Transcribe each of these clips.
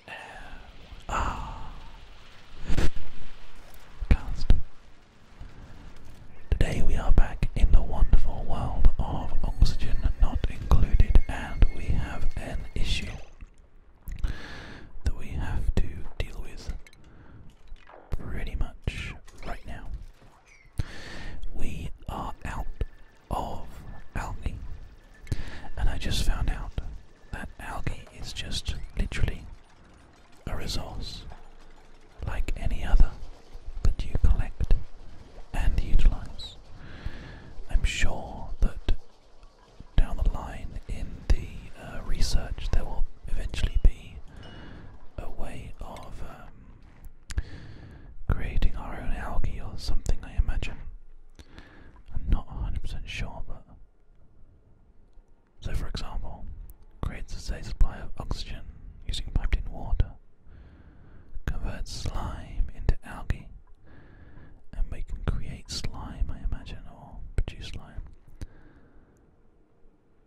S M R Cast. Today we are back in the wonderful world of oxygen not included, and we have an issue that we have to deal with pretty much right now. We are out of algae, and I just found out that algae is just literally a resource like any other that you collect and utilize. I'm sure that down the line in the uh, research there will eventually be a way of um, creating our own algae or something, I imagine. I'm not 100% sure, but so, for example, creates a safe supply of oxygen using piped in water, converts slime into algae, and we can create slime, I imagine, or produce slime.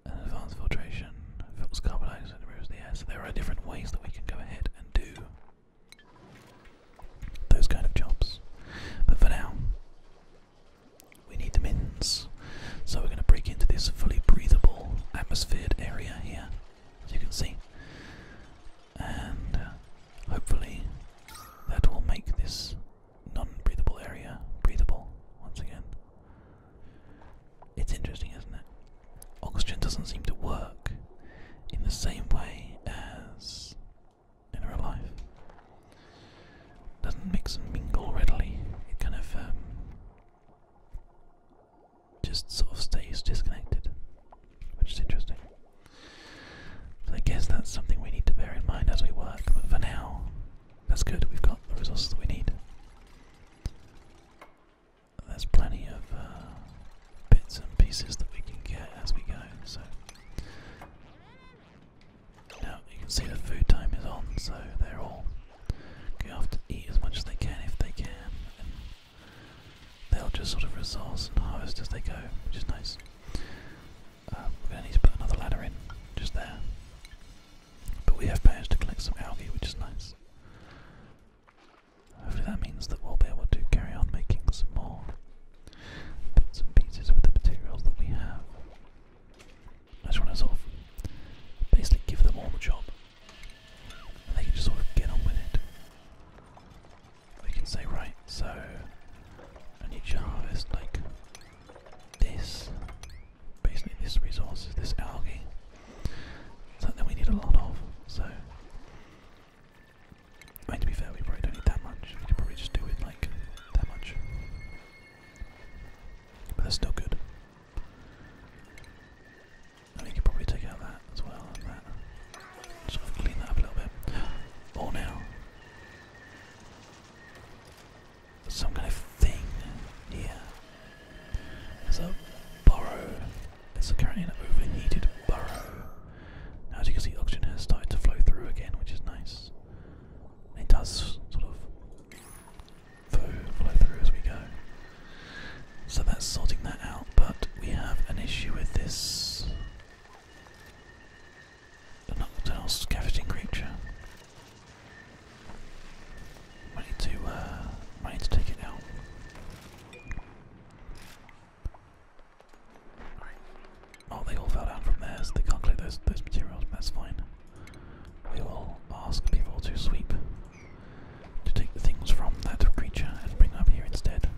And advanced filtration filters carbon and removes the air. So, there are different ways that we can go ahead and do those kind of jobs. But for now, we need the mittens. So we're going to break into this fully breathable atmosphered area here, as you can see. And uh, hopefully that will make this non breathable area breathable once again. It's interesting, isn't it? Oxygen doesn't seem to work in the same way as in real life. Doesn't mix and mingle readily. It kind of um, just sort of stays disconnected, which is interesting. So I guess that's something we need to bear in mind as we work. But for now, that's good. We've got the resources that we need. There's plenty of uh, bits and pieces that we can get as we go. So now you can see the food time is on, so they're all going to have to eat as much as they can if they can, and they'll just sort of resource and harvest as they go, which is nice. Um, we're going to need to put another ladder in, just there. But we have managed to collect some algae, which is nice. Hopefully that means that we'll be able to carry on making some more bits and pieces with the materials that we have. I just want to sort of basically give them all the job. And they can just sort of get on with it. We can say, right, so I need to harvest like this. Basically this resource is this algae. Something we need a lot of, so I mean, to be fair, we probably don't need that much. We could probably just do it like that much. But that's still good. I mean, you could probably take out that as well, and Sort of clean that up a little bit. Or now. Some kind of thing here. There's a burrow. It's currently overheated burrow. As you can see, oxygen has started to flow through again, which is nice. It does sort of flow, through as we go. So that's sorting that out, but we have an issue with this nocturnal scavenging creature. I need to, uh, need to take it out. Oh, they all fell down from there, so they can't collect those, those materials, that's fine. We will ask people to sweep, to take the things from that creature and bring up here instead.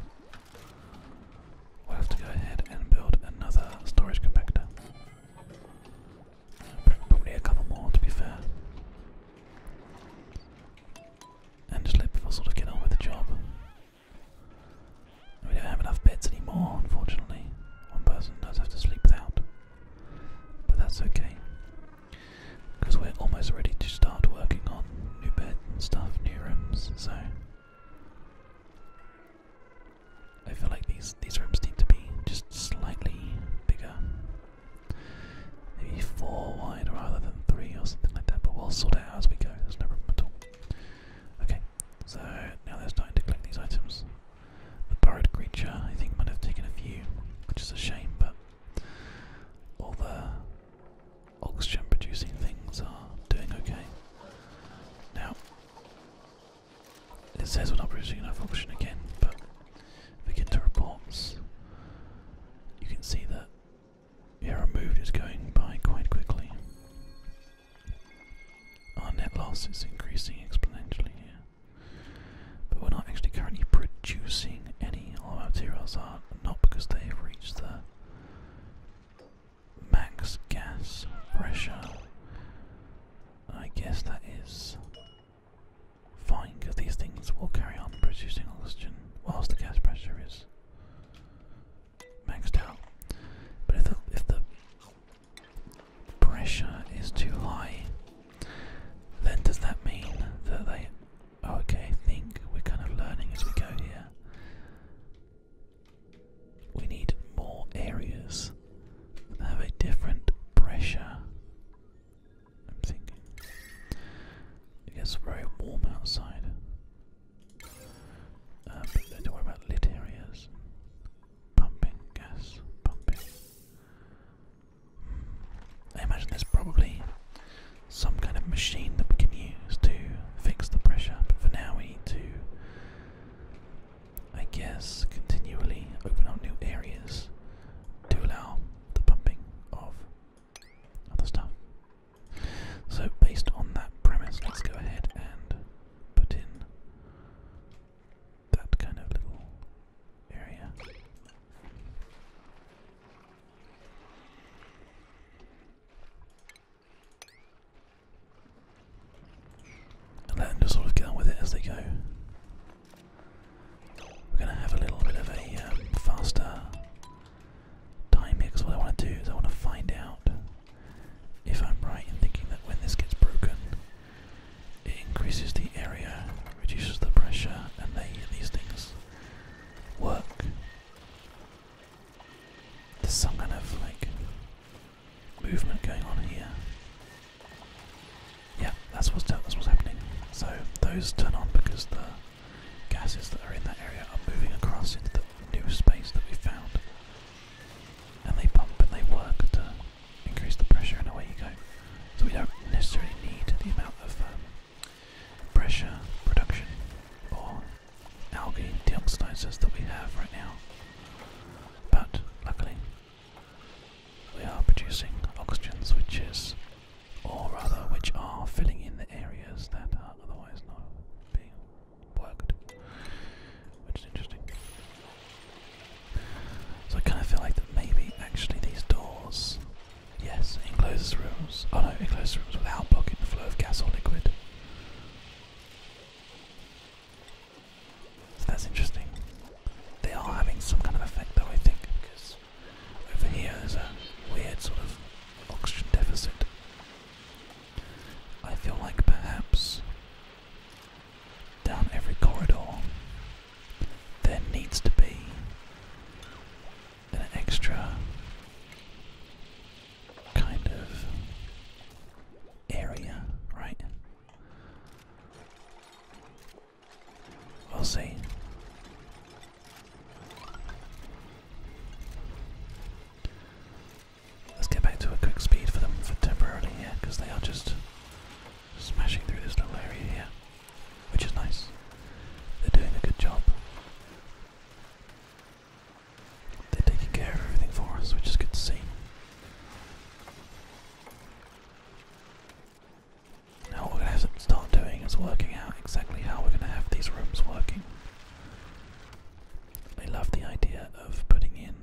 We'll have to go ahead and build another storage compactor. Probably a couple more, to be fair. And Slip let sort of get on with the job. We don't have enough beds anymore, unfortunately. One person does have to sleep without. But that's okay. Because we're almost ready to start working on new beds stuff, new rooms, so. I feel like these these rooms need to be just slightly bigger. Maybe four wide rather than three or something like that, but we'll sort it out as we go, there's no problem at all. Okay, so now they're starting to collect these items. The borrowed creature, I think, might have taken a few, which is a shame, but all the oxygen producing things are doing okay. Now, it says we're not producing enough oxygen again, but if we get to reports, you can see that. Yeah, removed is going by quite quickly. Our net loss is increasing exponentially here. But we're not actually currently producing any. All materials not because they've reached the max gas pressure. I guess that is fine because these things will carry on producing oxygen whilst the gas pressure is maxed out. But if the, if the pressure is too high, then does that mean that they. Oh, okay, think we're kind of learning as we go here. We need more areas that have a different pressure. I'm thinking. It gets very warm outside. Uh, but don't worry about lit areas pumping gas, pumping. I imagine there's probably some kind of machine that we can use to fix the pressure, but for now we to, I guess, continually open up new areas to allow the pumping of other stuff. So, based on that premise, let's go ahead and put in that kind of little area. And just sort of get with it as they go. We're going to have a little bit of a um, faster time here what I want to do is I want to find out if I'm right in thinking that when this gets broken, it increases the area, reduces the pressure, and these things work. There's some kind of like movement going on here. Yeah, that's what's that's what's happening. So those turn on because the gases that are in that area are moving across into the new space that we found and they pump and they work to increase the pressure and away you go. So we don't necessarily need the amount of um, pressure production or algae deoxidizers that we have right now. But luckily, we are producing oxygens which is, or rather which are filling in the areas that are otherwise not being worked, which is interesting. So I kind of feel like that maybe actually these doors, yes, encloses rooms. Oh no, encloses rooms without blocking the flow of gas or liquid. So that's interesting. They are having some kind of effect though, I think, because over here a weird sort of oxygen deficit. I feel like perhaps down every corridor, there needs to be an extra kind of area, right? We'll see. Let's get back to a quick speed for them for temporarily here, because they are just smashing through this little area here, which is nice. They're doing a good job. They're taking care of everything for us, which is good to see. Now what we're going to have to start doing is working out exactly how we're going to have these rooms working. I love the idea of putting in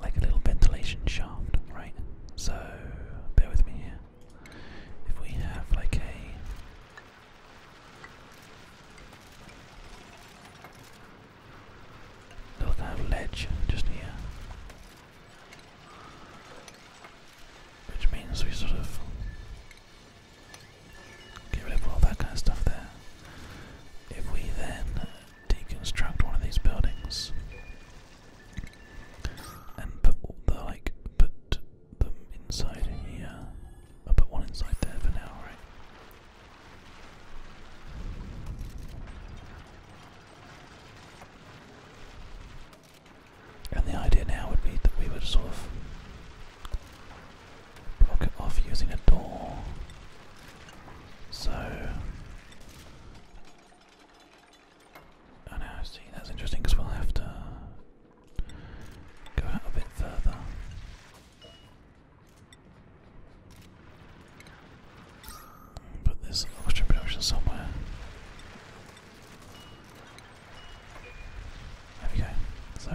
like a little ventilation shaft, right? So bear with me here. If we have like a little kind of ledge just here. Which means we sort of get rid of all that kind of stuff there. If we then deconstruct one of these buildings and put all the like put them inside here. I'll put one inside there for now, right? And the idea now would be that we would sort of block it off using a door. So, I see, that's interesting because we'll have to go out a bit further. Put this oxygen somewhere. There we go. So,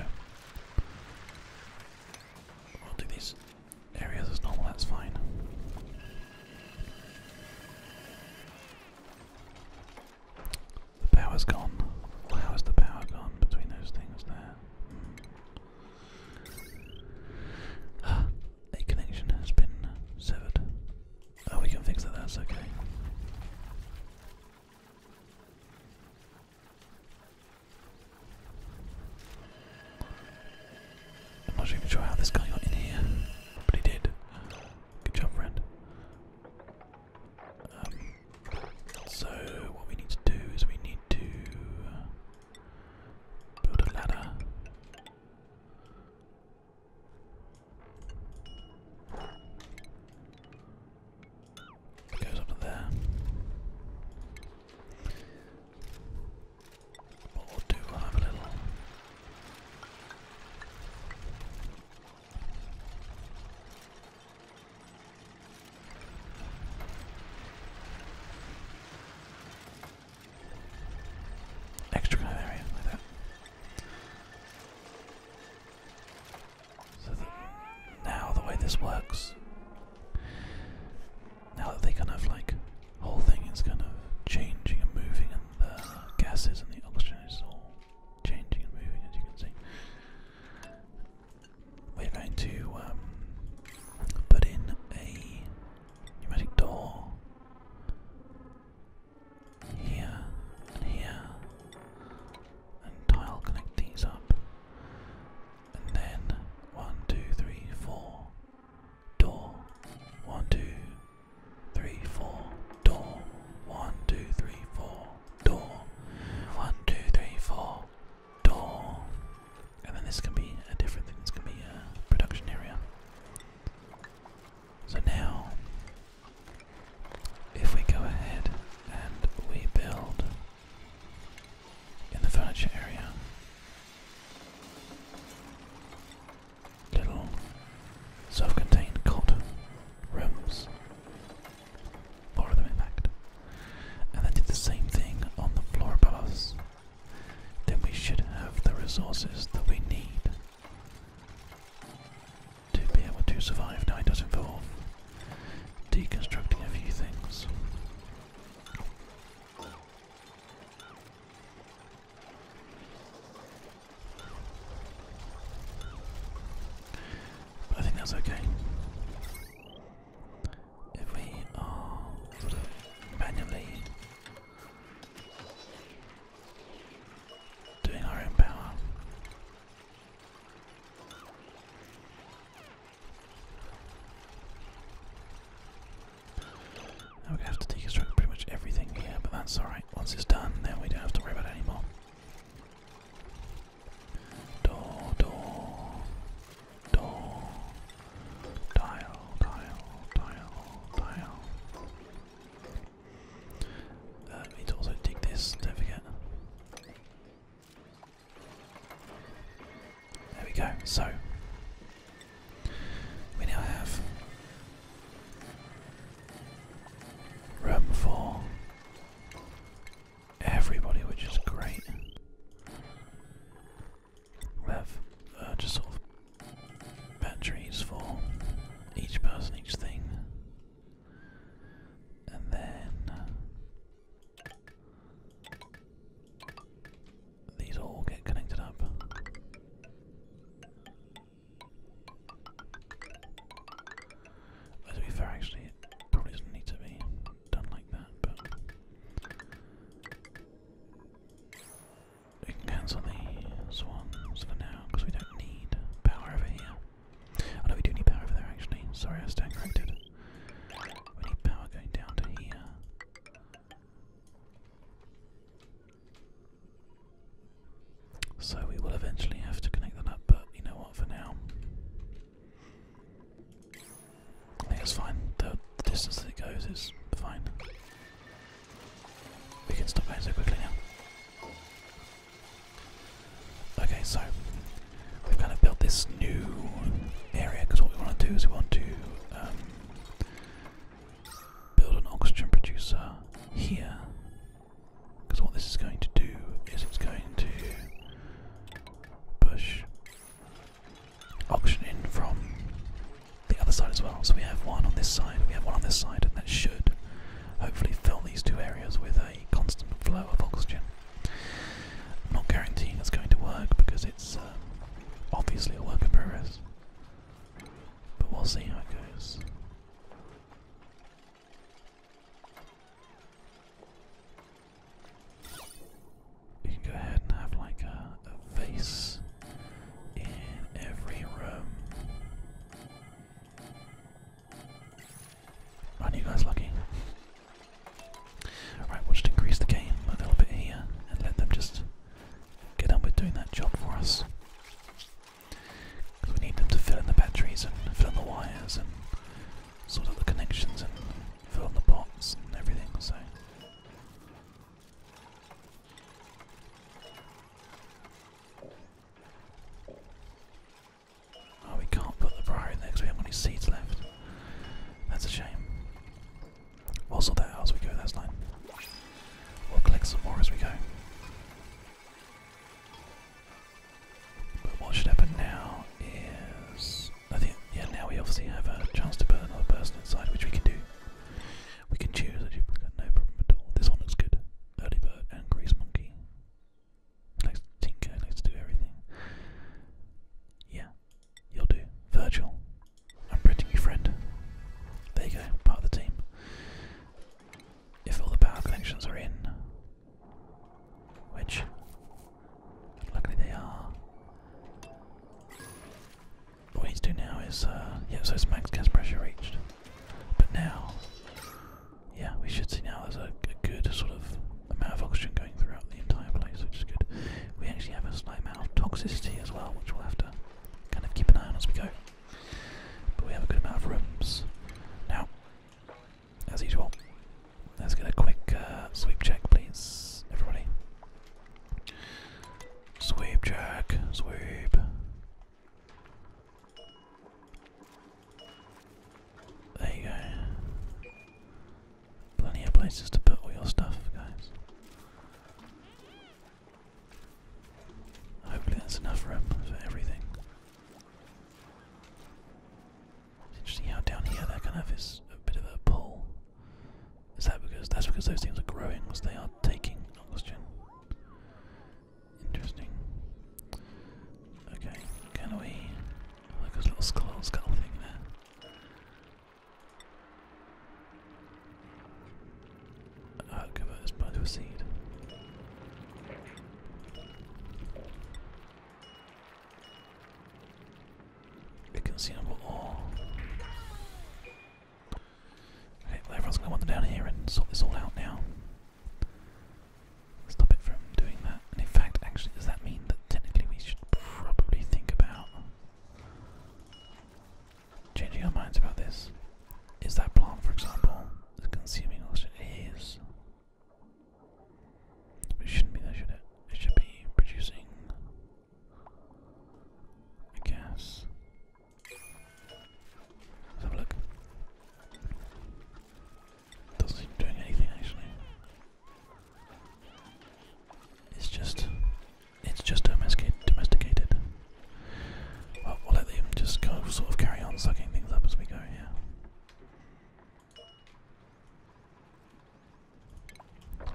I'll do these areas as normal, that's fine. The power's gone. How is the power gone between those things there? Hmm. a connection has been severed. Oh, we can fix that, that's okay. I'm not even sure how this guy got in here, but he did. Good job, friend. Um, so, what we need to do is we need to build a ladder. goes up to there we'll do have a little extra area like that. So now the way this works now that they kind of like whole thing is kind of changing and moving and the gases and the oxygen is all changing and moving as you can see. We're going to um, put in a pneumatic door here and here and tile connect these up and then one, two, three, four. Door. One, two, three, four. Door. One, two, three, four. Door. One, two, three, four. Door. And then this can be a different thing. This can be a production area. So now, if we go ahead and we build in the furniture area. Little self contained cot rooms. More of them, in fact. And then did the same thing on the floor above us. Then we should have the resources that we need to be able to survive. Now, it does involve deconstructing a few things. I think that's okay. If we are sort of manually doing our own power, now we're gonna have to deconstruct pretty much everything here, but that's alright. Once it's done, then we don't have to worry about it anymore. Door, door, door, dial, dial, dial, dial. Uh, we also dig this, don't forget. There we go. So we now have room for everybody, which is great. We have uh, just sort of batteries for each person, each thing. And then these all get connected up. to be fair, actually, it probably doesn't need to be done like that, but we can cancel these ones for now because we don't need power over here. Oh no, we do need power over there actually. Sorry, I stand corrected. We power going down to here. So we will eventually have to connect that up, but you know what, for now. it's fine. the distance that it goes is fine. We can stop going so quickly now. Okay, so we've kind of built this new area because what we want to do is we want to um, build an oxygen producer here. Because what this is going to do is it's going to push oxygen in from the other side as well. So we have one on this side, we have one on this side, and that should hopefully fill these two areas with a constant flow of oxygen. I'm not guaranteeing it's going to work because it's uh, obviously a work in progress. But we'll see how it goes. You can go ahead and have like a, vase in every room. are you guys lucky? Right, we'll just increase the game a little bit here and let them just get on with doing that job for us. Because we need them to fill in the batteries and fill in the wires and sort out the connections and fill in the pots and everything, so. Oh, we can't put the briar in there because we have any seeds left. That's a shame. Also, that as we go, that's nine. We'll collect some more as we go. But what should happen now is, I think, yeah, now we obviously have a chance to put another person inside, which we can do. We can choose. We've got no problem at all. This one looks good. Early bird and grease monkey. Likes to tinker. Likes to do everything. Yeah, You'll do. Virgil. I'm printing you friend. There you go, part of the team. If all the power connections are in, which luckily they are. What we need do now is, uh, yeah, so it's max gas pressure reached. But now, yeah, we should see now there's a good sort of amount of oxygen going throughout the entire place, which is good. We actually have a slight amount of toxicity as well, which we'll have to kind of keep an eye on as we go. But we have a good amount of rooms. Now, as usual, let's get a quick uh, sweep check, please, everybody. Sweep check, sweep. There you go. Plenty of places to put all your stuff, guys. Hopefully that's enough room for everything. It's interesting how down here that kind of is a bit of a pull. Is that because that's because those things are growing, because they are taking oxygen? Interesting. Okay, can we oh, look at little skull skull thing there? Uh, plant a seed. It can see number all. Okay, everyone's gonna wander down here and sort this all out now. Stop it from doing that. And in fact, actually, does that mean that technically we should probably think about Changing our minds about this. Is that plant, for example, consuming oxygen? It is. It shouldn't be there, it? should be producing a gas. Let's have a look. Doesn't seem doing anything actually. It's just, it's just domesticated. Well, we'll let them just sort of carry on sucking things up as we go here.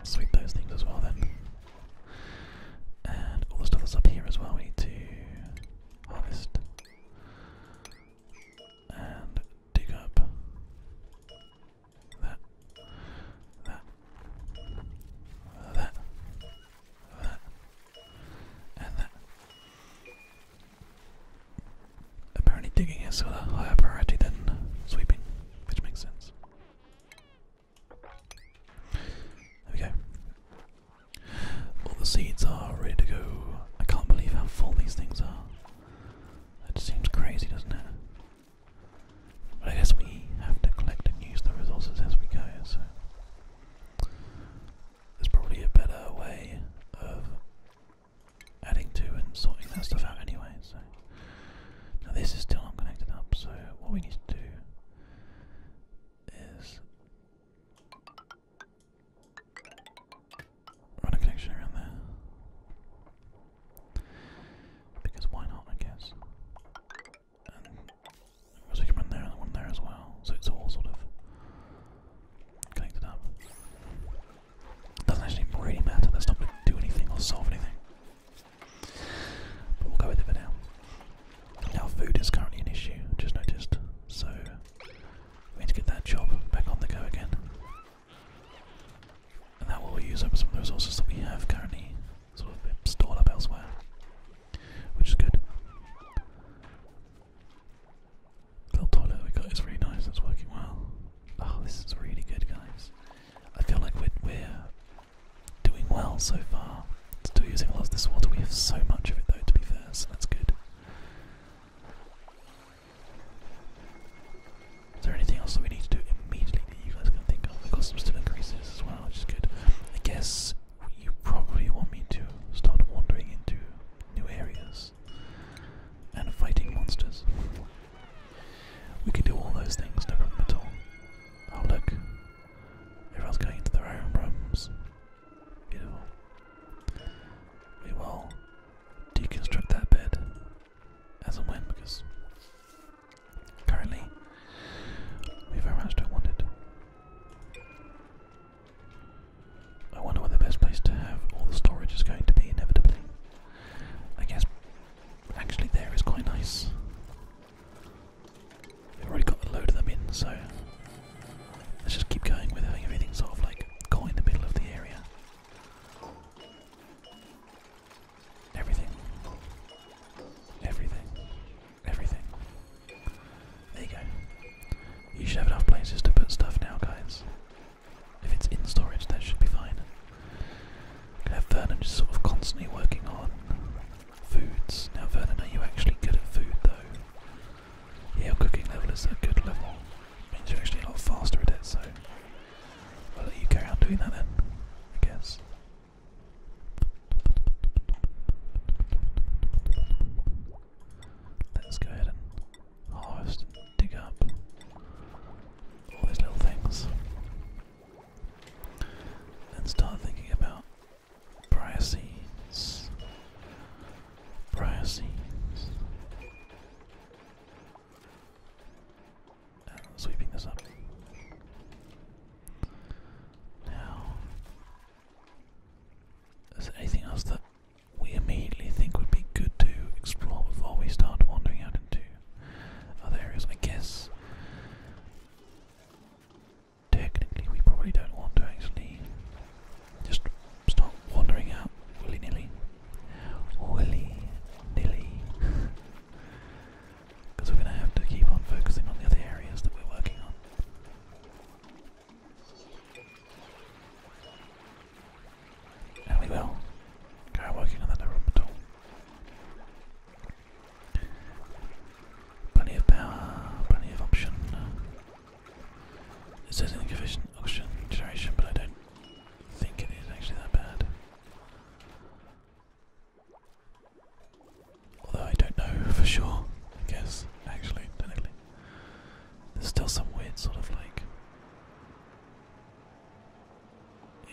Sweep those things as well then. And all the stuff that's up here as well we need to harvest. And dig up that, that, that, that, and that. Apparently, digging is sort of higher priority than sweeping, which makes sense. There we go. All the seeds are ready to go. I can't believe how full these things are. That seems crazy, doesn't it? I guess we have to collect and use the resources as we go, so there's probably a better way of adding to and sorting that stuff out anyway, so now this is still not connected up, so what we need to do is run a connection around there. Because why not, I guess. there's a human there and one there as well, so it's all sort of connected up. doesn't actually really matter, that's not going to do anything or solve anything. But we'll go with it for now. Now, food is currently an issue, just noticed, so we need to get that job back on the go again. And that will use up some of the resources that we have currently sort of stored up elsewhere, which is good. little toilet we got is really nice, it's working well. Oh, this is really good, guys. I feel like we're doing well so far. Still using a lot of this water, we have so much of it though, to be fair, so that's good. Is there anything else that we need to do immediately that you guys can think of? We've got still increases as well, which is good. I guess you probably want me to start wandering into new areas and fighting monsters. We can do all those things, no problem at all. Oh look, everyone's going into their own rooms. Beautiful. We will deconstruct that bed as a when because currently we very much don't want it. I wonder what the best place to have all the storage is going to be inevitably. I guess actually there is quite nice. We've already got a load of them in, so let's just keep going with having everything sort of like caught in the middle of the area. Everything. Everything. Everything. There you go. You should have enough places to put stuff now, guys. If it's in storage, that should be fine. have Vernon just sort of constantly working on foods. Now, Vernon, are you actually good at food, though? Yeah, your cooking level is a good level. Means you're actually a lot faster at it, so i you carry on doing that then, I guess. Let's go ahead and harvest dig up all these little things. And start thinking about briar seeds. Uh, sweeping this up. Now, is there anything else that we immediately think would be good to explore before we start wandering out into other areas? I guess technically we probably don't want to actually just start wandering out willy nilly. Willy nilly. Because we're going to have to keep on focusing on the other areas that we're working on. And we will. Go working on that no problem at all. Plenty of power, plenty of option. It says in the official but I don't think it is actually that bad. Although I don't know for sure, I guess, actually, technically. There's still some weird sort of like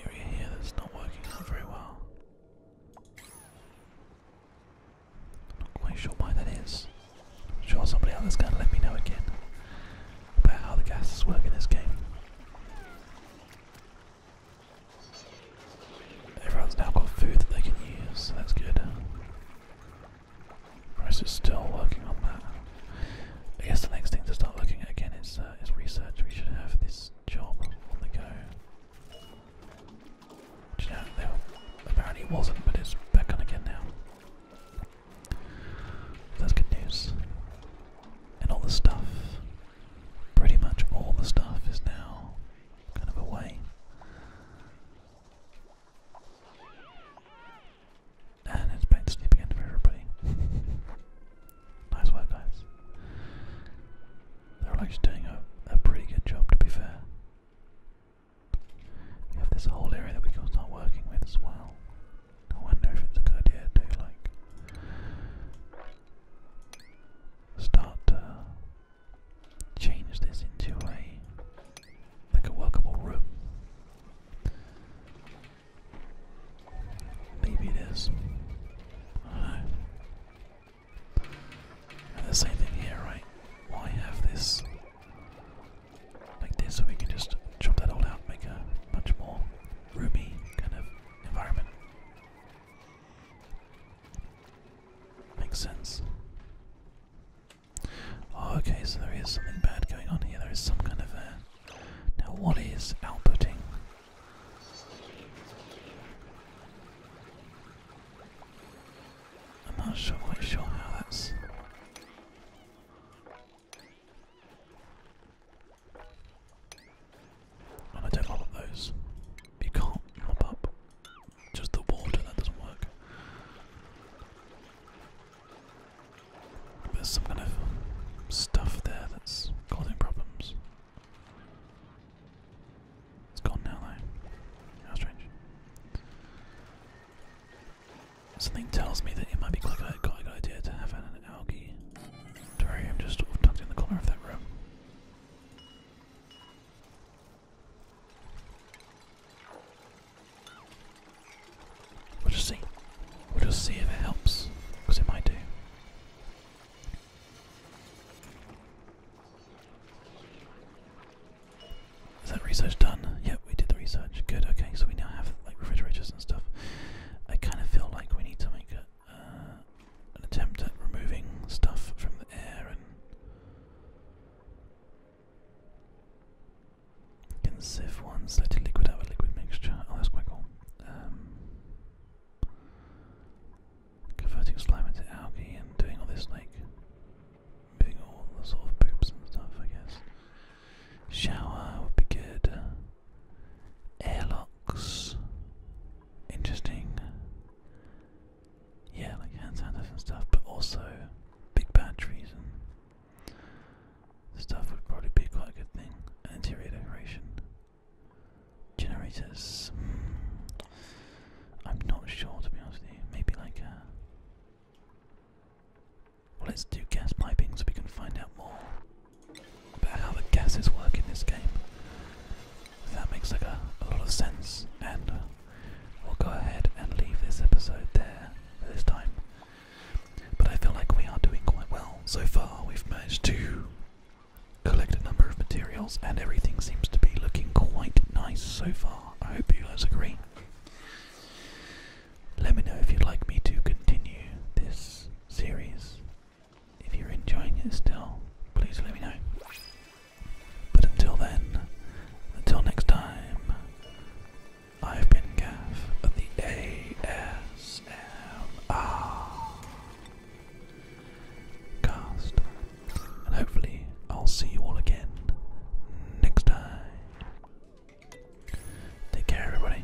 area here that's not working out very well. I'm not quite sure why that is. I'm sure somebody else is going to let me know again about how the gas is working in this game. Everyone's now got food that they can use, that's good. Bryce is still working on that. I guess the next thing to start looking at again is, uh, is research. We should have this job on the go. you know, apparently wasn't, but it's back on again now. That's good news and all the stuff, pretty much all the stuff is now kind of away. And it's been sleep again for everybody. nice work, guys. They're actually doing a pretty good job, to be fair. We have this whole area that we can start working with as well. I wonder if it's a good idea to like start to change this into a like a workable room. Maybe it is. I know. the same thing here, right? Why have this like this so we can just chop that all out, make a much more roomy kind of environment. Makes sense. Oh, okay, so there is something bad going on here. There is some kind of a. Now, what is outputting? I'm not sure, quite sure how that's. I don't mop up those. You can't mop up just the water, that doesn't work. there's some kind of stuff there that's causing problems. It's gone now though. How strange. Something tells me that it might be quite a good idea to have an algae Sorry, I'm just tucked in the corner of that room. We'll just see. We'll just see if it helps, because it might do. Is that research done? Yep, we did the research. Good, okay, so we now have like refrigerators and stuff. I kind of feel like we need something. Uh, an attempt at removing stuff from the air and can sieve one selected liquid out of a liquid mixture. Oh, that's quite cool. Um, converting slime into algae and doing all this like moving all the sort of poops and stuff, I guess. Shower would be good. Airlocks. Interesting. Yeah, like hand sanitizers and stuff, but also big batteries and stuff would probably be quite a good thing. And interior decoration. Generators. Hmm. I'm not sure to be honest with you. Maybe like a. Uh, well, let's do gas piping so we can find out more about how the gases work in this game. That makes like a, lot of sense, and uh, we'll go ahead and leave this episode there for this time. But I feel like we are doing quite well so far. We've managed to collect a number of materials, and everything seems to be looking quite nice so far. I hope you guys agree. Let me know if you'd like me to continue this series if you're enjoying it still, please let me know. But until then, until next time, I've been Gav of the ASMR cast, and hopefully I'll see you all again next time. Take care, everybody.